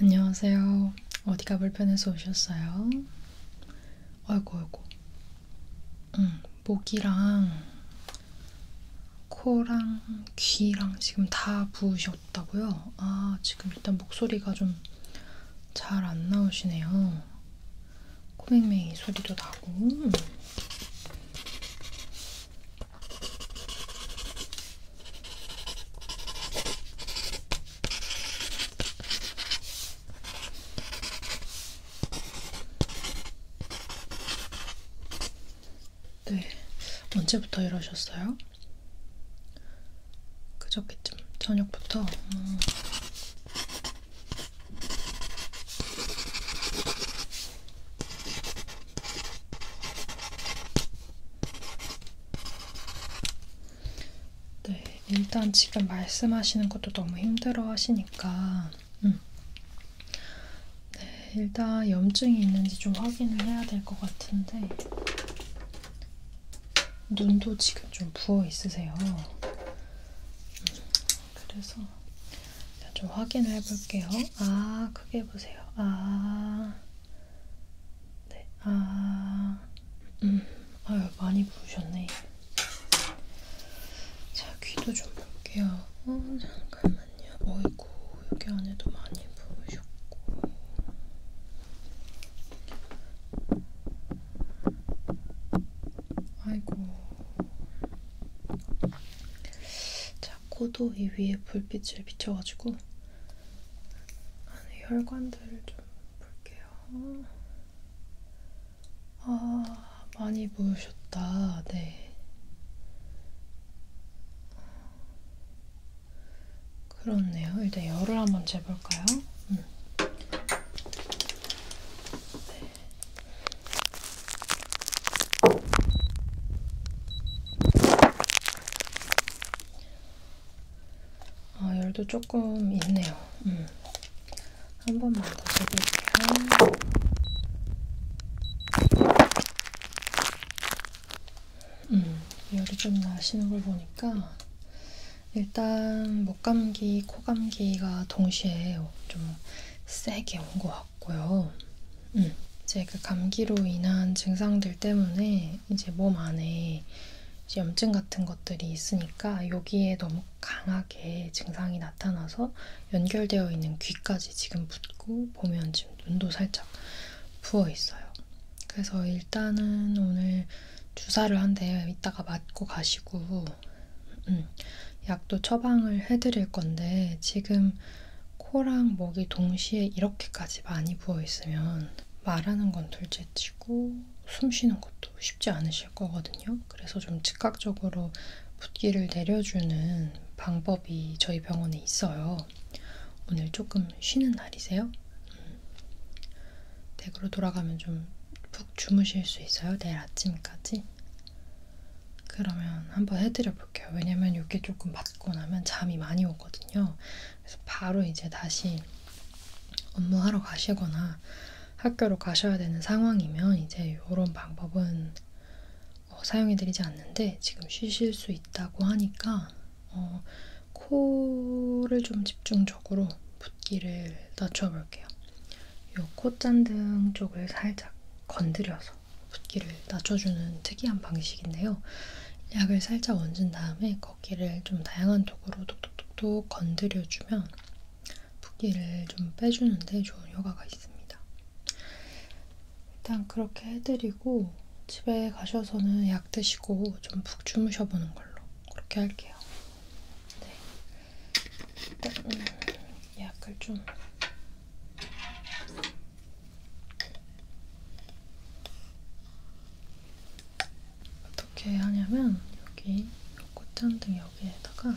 안녕하세요. 어디가 불편해서 오셨어요? 아이고 아이고 응, 목이랑 코랑 귀랑 지금 다 부으셨다고요? 아 지금 일단 목소리가 좀 잘 안 나오시네요 코맹맹이 소리도 나고 네, 언제부터 이러셨어요? 그저께쯤 저녁부터. 음. 네, 일단 지금 말씀하시는 것도 너무 힘들어 하시니까, 음. 네, 일단 염증이 있는지 좀 확인을 해야 될 것 같은데, 눈도 지금 좀 부어 있으세요. 음, 그래서 일단 좀 확인을 해볼게요. 아, 크게 보세요. 아, 네, 아. 음, 아유 많이 부으셨네. 자 귀도 좀 볼게요. 어, 잠깐만요. 어이구 여기 안에도 많이 부으셨고. 아이고. 자 코도 이 위에 불빛을 비춰가지고 안에 혈관들을 좀 볼게요. 아, 많이 부으셨다. 네. 그렇네요. 일단 열을 한번 재볼까요? 음. 네. 아, 열도 조금 있네요. 음. 한 번만 더 재볼게요. 음, 열이 좀 나시는 걸 보니까 일단 목 감기, 코 감기가 동시에 좀 세게 온 것 같고요. 음, 제그 감기로 인한 증상들 때문에 때 이제 몸 안에 이제 염증 같은 것들이 있으니까 여기에 너무 강하게 증상이 나타나서 연결되어 있는 귀까지 지금 붓고 보면 지금 눈도 살짝 부어 있어요. 그래서 일단은 오늘 주사를 한대 이따가 맞고 가시고 음, 약도 처방을 해드릴 건데 지금 코랑 목이 동시에 이렇게까지 많이 부어 있으면 말하는 건 둘째치고 숨 쉬는 것도 쉽지 않으실 거거든요. 그래서 좀 즉각적으로 붓기를 내려주는 방법이 저희 병원에 있어요. 오늘 조금 쉬는 날이세요? 음. 댁으로 돌아가면 좀 푹 주무실 수 있어요? 내일 아침까지? 그러면 한번 해드려 볼게요. 왜냐면 이게 조금 맞고 나면 잠이 많이 오거든요. 그래서 바로 이제 다시 업무하러 가시거나 학교로 가셔야 되는 상황이면 이제 이런 방법은 어, 사용해드리지 않는데 지금 쉬실 수 있다고 하니까 어, 코를 좀 집중적으로 붓기를 낮춰볼게요. 이 콧잔등 쪽을 살짝 건드려서 붓기를 낮춰주는 특이한 방식인데요. 약을 살짝 얹은 다음에 거기를 좀 다양한 쪽으로 톡톡톡톡 건드려주면 붓기를 좀 빼주는데 좋은 효과가 있습니다. 일단 그렇게 해드리고 집에 가셔서는 약 드시고 좀 푹 주무셔보는 걸로 그렇게 할게요. 네. 일단 음, 약을 좀 어떻게 하냐면 여기 꽃잔등 여기에다가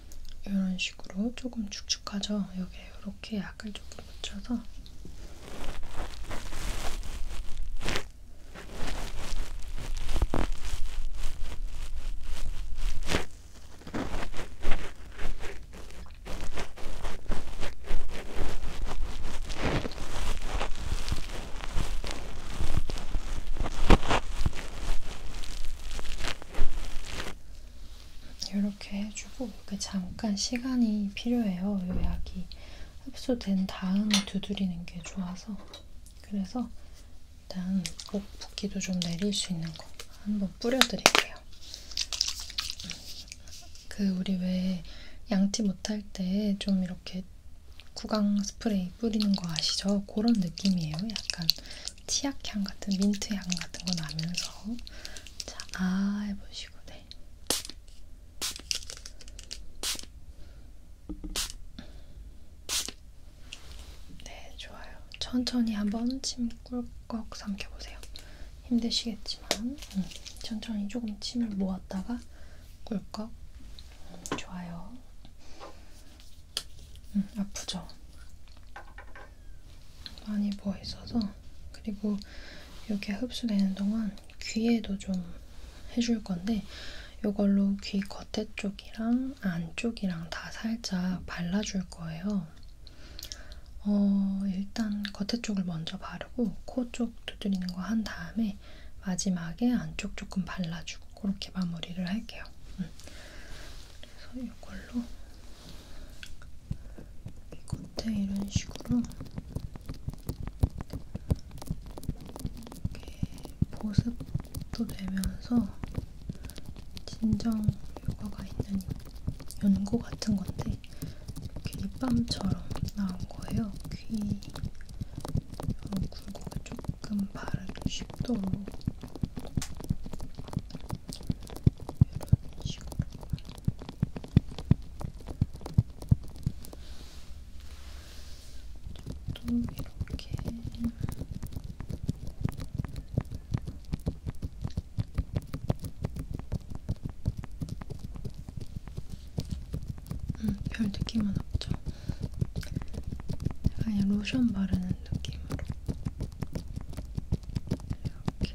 이런 식으로 조금 축축하죠? 여기에 이렇게 약을 조금 묻혀서 이렇게 해주고 이게 잠깐 시간이 필요해요. 이 약이 흡수된 다음에 두드리는 게 좋아서 그래서 일단 목 붓기도 좀 내릴 수 있는 거 한번 뿌려드릴게요. 그 우리 왜 양치 못할 때 좀 이렇게 구강 스프레이 뿌리는 거 아시죠? 그런 느낌이에요. 약간 치약향 같은 민트향 같은 거 나면서 자, 아 해보시고 네. 네, 좋아요. 천천히 한번 침 꿀꺽 삼켜보세요. 힘드시겠지만 음, 천천히 조금 침을 모았다가 꿀꺽 음, 좋아요. 음, 아프죠? 많이 부어 있어서 그리고 이렇게 흡수되는 동안 귀에도 좀 해줄 건데 이걸로 귀 겉에 쪽이랑 안쪽이랑 다 살짝 발라줄 거예요. 어, 일단 겉에 쪽을 먼저 바르고 코 쪽 두드리는 거 한 다음에 마지막에 안쪽 조금 발라주고 그렇게 마무리를 할게요. 음. 그래서 이걸로 이 겉에 이런 식으로 이렇게 보습도 되면서 진정 효과가 있는 연고 같은 건데 이렇게 립밤처럼 나온 거예요. 귀 어, 굴곡이 조금 조금 바르기 쉽도록 이런 식으로 또 이렇게 음, 별 느낌은 없죠. 그냥 로션 바르는 느낌으로 이렇게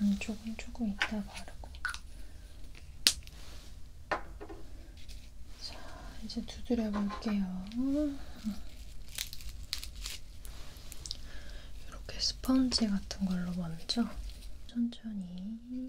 안쪽은 음, 조금 이따 바르고 자, 이제 두드려 볼게요. 이렇게 스펀지 같은 걸로 먼저 천천히.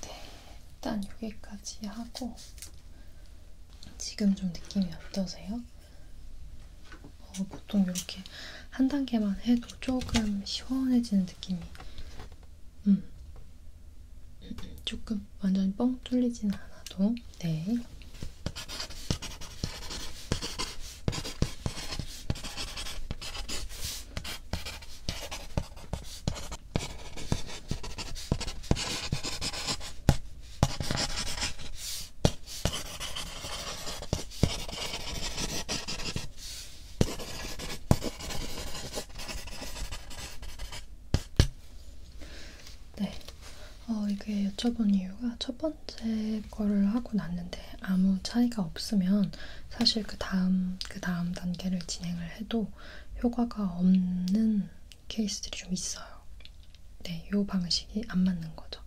네, 일단 여기까지 하고 지금 좀 느낌이 어떠세요? 어, 보통 이렇게 한 단계만 해도 조금 시원해지는 느낌이 음, 네. 조금 완전히 뻥 뚫리진 않아도 네. 네, 어, 이게 여쭤본 이유가 첫 번째 거를 하고 났는데 아무 차이가 없으면 사실 그 다음 그 다음 단계를 진행을 해도 효과가 없는 케이스들이 좀 있어요. 네, 이 방식이 안 맞는 거죠.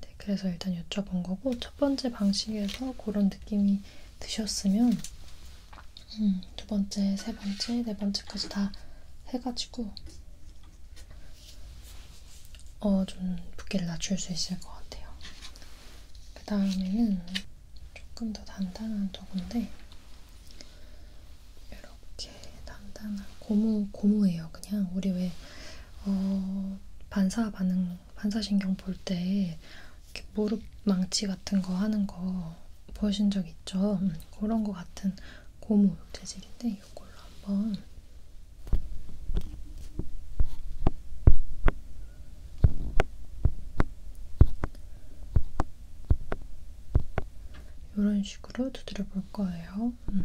네, 그래서 일단 여쭤본 거고 첫 번째 방식에서 그런 느낌이 드셨으면 음, 두 번째, 세 번째, 네 번째까지 다 해가지고 어, 좀 붓기를 낮출 수 있을 것 같아요. 그 다음에는 조금 더 단단한 도구인데 이렇게 단단한 고무 고무예요. 그냥 우리 왜 어, 반사 반응 반사신경 볼때 이렇게 무릎 망치 같은 거 하는 거 보신 적 있죠? 음, 그런 거 같은 고무 재질인데 이걸로 한번 이런 식으로 두드려 볼 거예요. 음.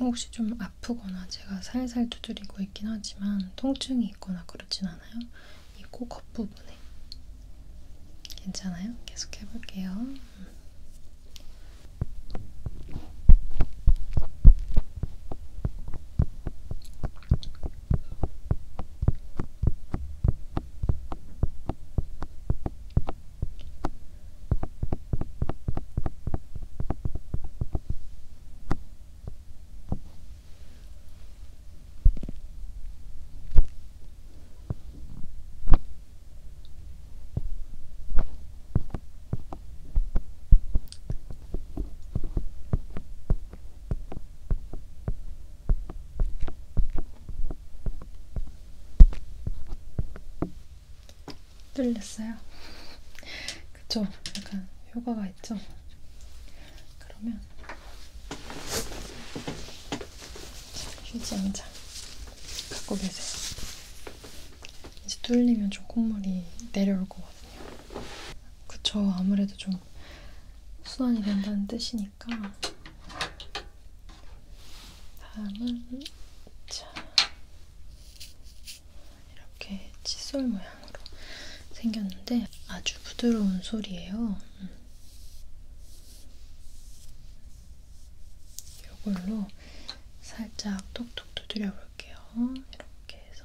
혹시 좀 아프거나 제가 살살 두드리고 있긴 하지만 통증이 있거나 그러진 않아요? 이코 겉부분에 괜찮아요? 계속 해볼게요. 음. 뚫렸어요. 그쵸? 약간 효과가 있죠? 그러면 휴지 한 장 갖고 계세요. 이제 뚫리면 좀 콧물이 내려올 거거든요. 그쵸, 아무래도 좀 수환이 된다는 뜻이니까. 다음은 자 이렇게 칫솔 모양으로 생겼는데 아주 부드러운 솔이에요. 이걸로 살짝 톡톡 두드려 볼게요. 이렇게 해서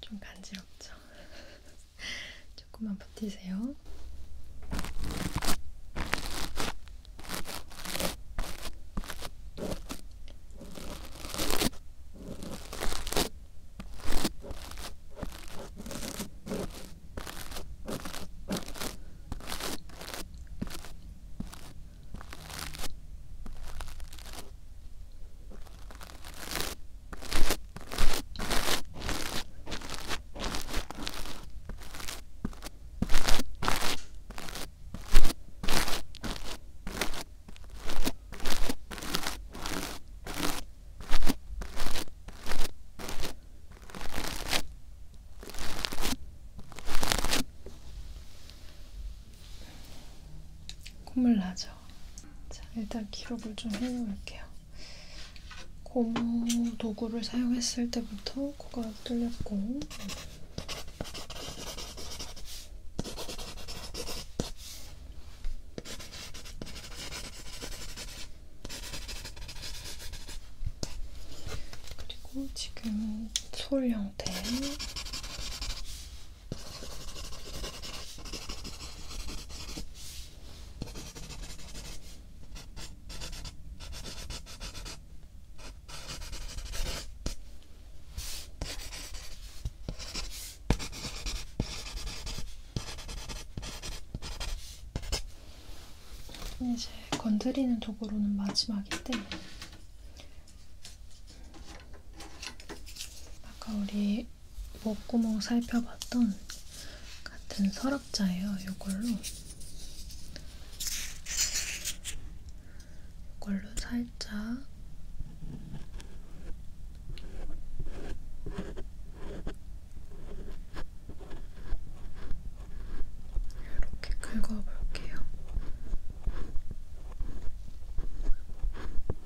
좀 간지럽죠? 조금만 버티세요. 콧물 나죠? 있죠. 자, 일단 기록을 좀 해놓을게요. 고무 도구를 사용했을 때부터 코가 뚫렸고, 그리고 지금 솔 형태 이제 건드리는 도구로는 마지막인데 아까 우리 목구멍 살펴봤던 같은 서랍자예요. 이걸로 이걸로 살짝 이렇게 긁어볼게요.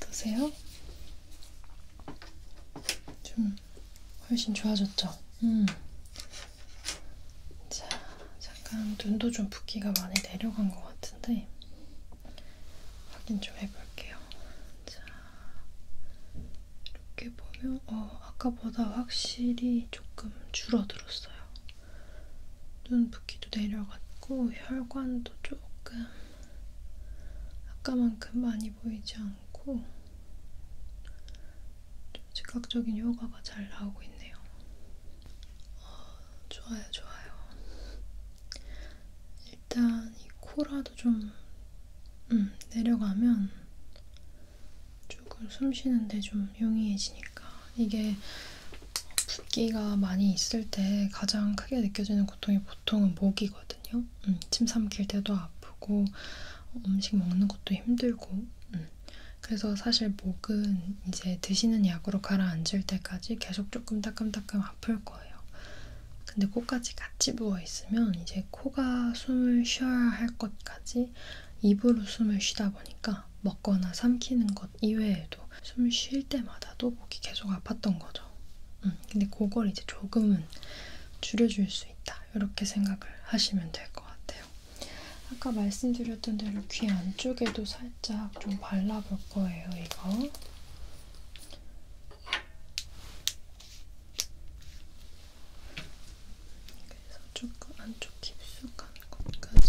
어떠세요? 좀 훨씬 좋아졌죠? 음. 자, 잠깐 눈도 좀 붓기가 많이 내려간 것 같은데 확인 좀 해볼게요. 자, 이렇게 보면 어, 아까보다 확실히 조금 줄어들었어요. 눈 붓기도 내려갔고 혈관도 조금 아까만큼 많이 보이지 않고 좀 즉각적인 효과가 잘 나오고 있네요. 어, 좋아요, 좋아요. 일단 이 코라도 좀 음, 내려가면 조금 숨 쉬는데 좀 용이해지니까 이게 붓기가 많이 있을 때 가장 크게 느껴지는 고통이 보통은 목이거든요. 음, 침 삼킬 때도 아프고 어, 음식 먹는 것도 힘들고 음. 그래서 사실 목은 이제 드시는 약으로 가라앉을 때까지 계속 조금 따끔따끔 아플 거예요. 근데 코까지 같이 부어있으면 이제 코가 숨을 쉬어야 할것 때까지 입으로 숨을 쉬다 보니까 먹거나 삼키는 것 이외에도 숨 쉴 때마다도 목이 계속 아팠던 거죠. 음, 근데 그걸 이제 조금은 줄여줄 수 있다. 이렇게 생각을 하시면 될 것 같아요. 아까 말씀드렸던 대로 귀 안쪽에도 살짝 좀 발라볼 거예요, 이거. 그래서 조금 안쪽 깊숙한 곳까지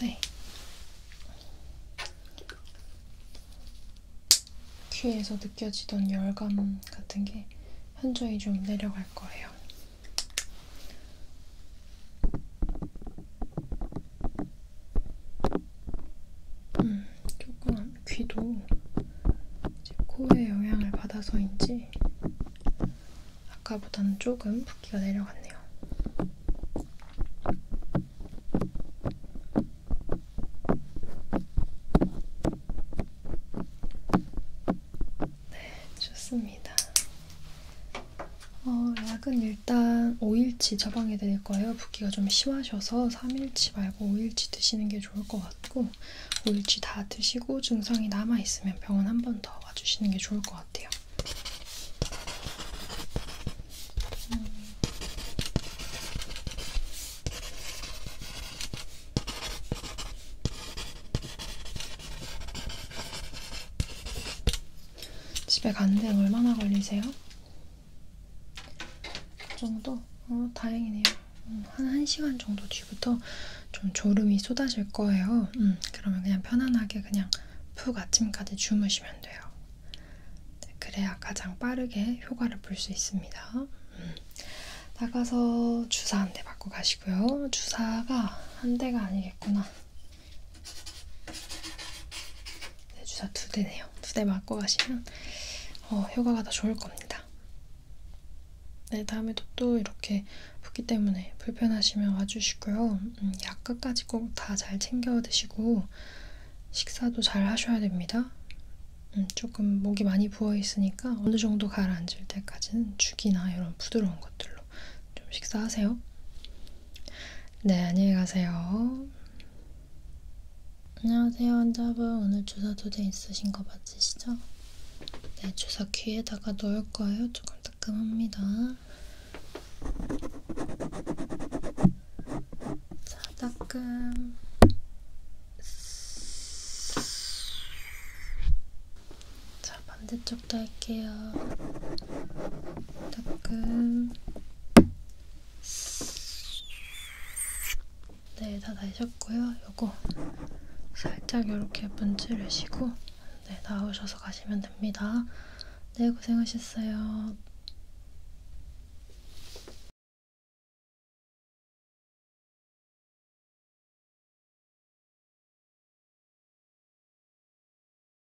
네. 귀에서 느껴지던 열감 같은 게 현저히 좀 내려갈 거예요. 음, 조금 귀도 이제 코에 영향을 받아서인지 아까보다는 조금 붓기가 내려갔네요. 네, 좋습니다. 어, 약은 일단 5일치 처방해 드릴 거예요. 붓기가 좀 심하셔서 3일치 말고 5일치 드시는 게 좋을 것 같고 5일치 다 드시고 증상이 남아있으면 병원 한 번 더 와주시는 게 좋을 것 같아요. 음. 집에 가는데 얼마나 걸리세요? 그 정도? 어, 다행이네요. 음, 한 1시간 정도 뒤부터 좀 졸음이 쏟아질 거예요. 음, 그러면 그냥 편안하게 그냥 푹 아침까지 주무시면 돼요. 네, 그래야 가장 빠르게 효과를 볼 수 있습니다. 음. 나가서 주사 한대 맞고 가시고요. 주사가 한 대가 아니겠구나. 네, 주사 두 대네요. 두 대 맞고 가시면 어, 효과가 더 좋을 겁니다. 네, 다음에도 또 이렇게 붓기 때문에 불편하시면 와주시고요. 음, 약 끝까지 꼭 다 잘 챙겨 드시고 식사도 잘 하셔야 됩니다. 음, 조금 목이 많이 부어 있으니까 어느 정도 가라앉을 때까지는 죽이나 이런 부드러운 것들로 좀 식사하세요. 네, 안녕히 가세요. 안녕하세요, 환자분. 오늘 주사 두 대 있으신 거 맞으시죠? 네, 주사 귀에다가 넣을 거예요. 조금 따끔합니다. 자, 따끔. 자, 반대쪽도 할게요. 따끔. 네, 다 나셨고요. 요거 살짝 이렇게 문지르시고 네, 나오셔서 가시면 됩니다. 네, 고생하셨어요.